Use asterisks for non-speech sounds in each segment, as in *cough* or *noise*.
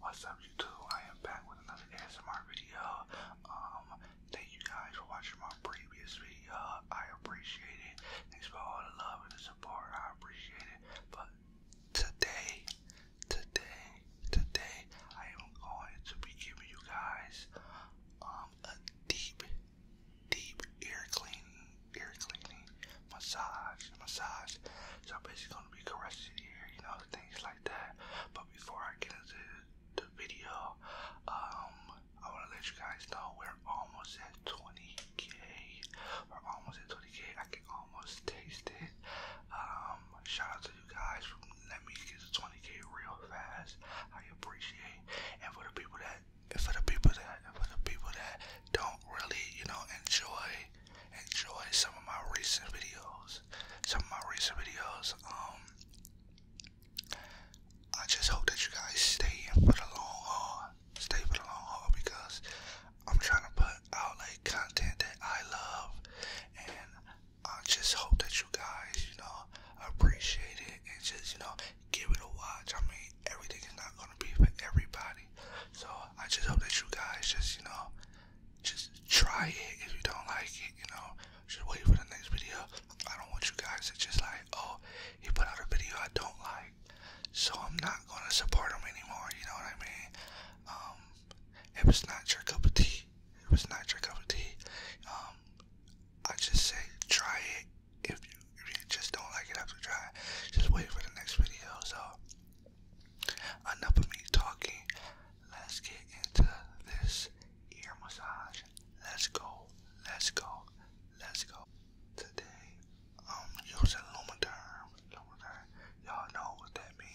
What's up YouTube? I am back with another ASMR video. Um, thank you guys for watching my previous video. I appreciate it. Thanks for all the love and the support. I appreciate it. But today Today, today I am going to be giving you guys um, a deep, deep ear cleaning, ear cleaning massage, massage. So I'm basically gonna be caressing your ear, you know, things like that. But before I get into the video, um, I wanna let you guys know we're almost at 20k. We're almost at 20k. I can almost taste it. Um, shout out you guys for letting me get to 20k real fast. I appreciate, and for the people that, and for the people that, for the people that don't really, you know, enjoy, enjoy some of my recent videos, some of my recent videos. Um, I just hope that you guys stay for the long haul, stay for the long haul because I'm trying to put out like content that I love and I just hope that you guys, you know, appreciate it and just, you know, give it a watch. I mean, everything is not gonna be for everybody. So I just hope that you guys just, you know, just try it. If you don't like it, you know, just wait for the next video. I don't want you guys to just like, oh, he put out a video I don't like. So I'm not gonna support him anymore, you know what I mean? Um, it was not your cup of tea. It was not your cup of tea. Um, I just say try it. If you, if you just don't like it after try, just wait for the next video. So enough of me talking. Let's get into this ear massage. Let's go. Let's go. Let's go. Today, I'm um, using Lumiderm lower Y'all know what that means.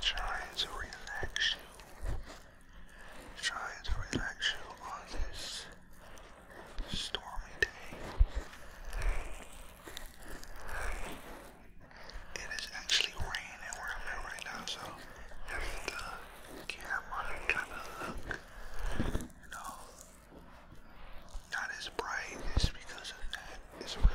Trying to relax you. Trying to relax you on this stormy day. It is actually raining where I'm at right now, so if the camera kind of look, you know, not as bright. It's because of that. It's real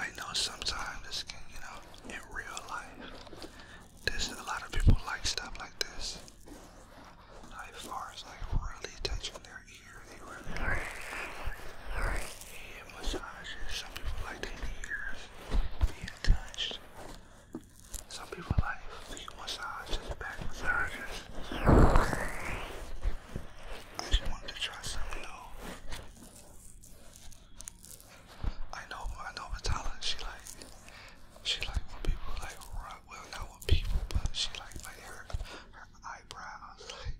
I know sometimes this can, you know, in real life, there's a lot of people like stuff like this. Night flowers like really touching their ear. They really and massages. Some people like their ears being touched. Some people like feet massages, back massages. I just wanted to try something new. I know, I know Vitala, she like, she like when people like rub well known with people, but she like my hair, her eyebrows. Like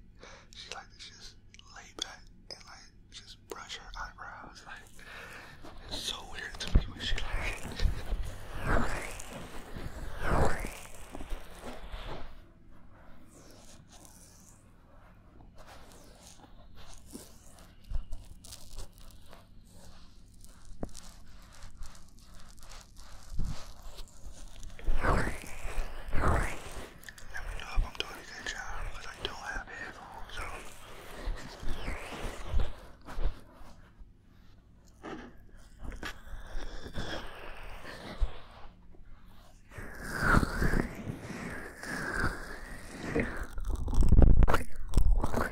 she like to just lay back and like just brush her eyebrows. Like it's so weird to me when she like. *laughs* Let me know if I'm doing a good job because I don't have headphones so.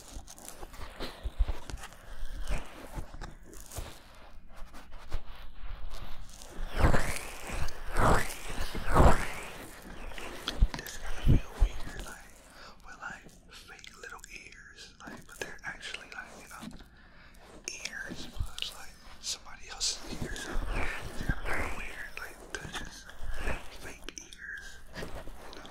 This gotta feel weird, like with like fake little ears, like but they're actually like you know ears, but it's like somebody else's ears. It's gotta feel weird, like they're just fake ears, you know.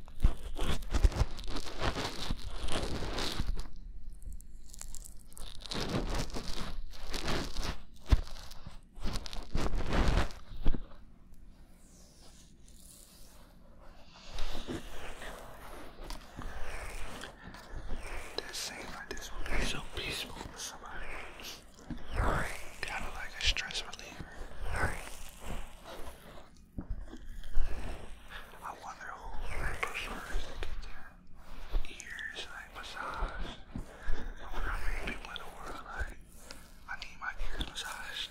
That seems like this would be so peaceful for somebody. Kind of like a stress reliever. I wonder who prefers to get their ears like massaged. I wonder how many people in the world I need my ears massaged.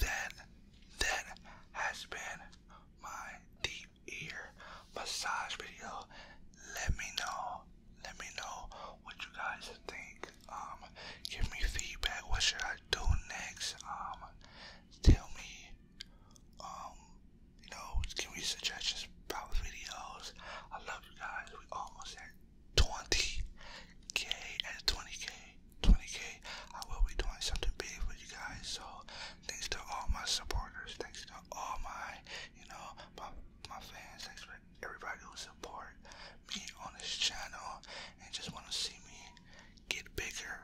Then, that has been my deep ear massage video. Let me know. Let me know what you guys think. Um, give me feedback. What should I do next? Um, tell me. Um, you know, give me suggestions about videos. I love you guys. We almost at 20k. At 20k, 20k. I will be doing something big for you guys. So thanks to all my supporters. Thanks to all my, you know, my my fans. Thanks for everybody who support me on this channel and just want to see me get bigger,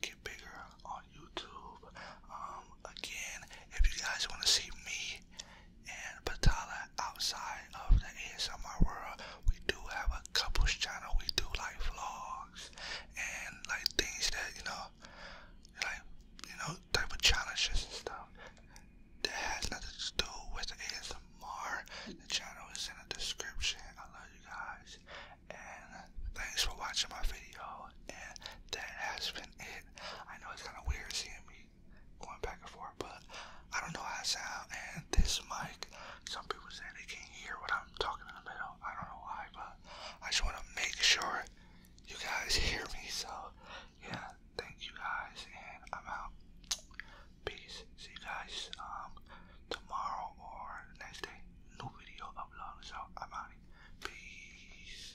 get bigger on YouTube. Um, again, if you guys want to see me and Batala outside of the ASMR world. We do have a couples channel. We do like vlogs and like things that, you know, like, you know, type of challenges and stuff. That has nothing to do with ASMR. The channel is in the description. I love you guys. And thanks for watching my video. And that has been it. I know it's kind of weird seeing me going back and forth, but I don't know how I sound. And this mic, some people say they can't hear what I'm talking in the middle. I don't know why, but I just want to make sure you guys *laughs* hear me. So, yeah, thank you guys, and I'm out. Peace. See you guys um, tomorrow or next day. New video upload. so I'm out. Peace.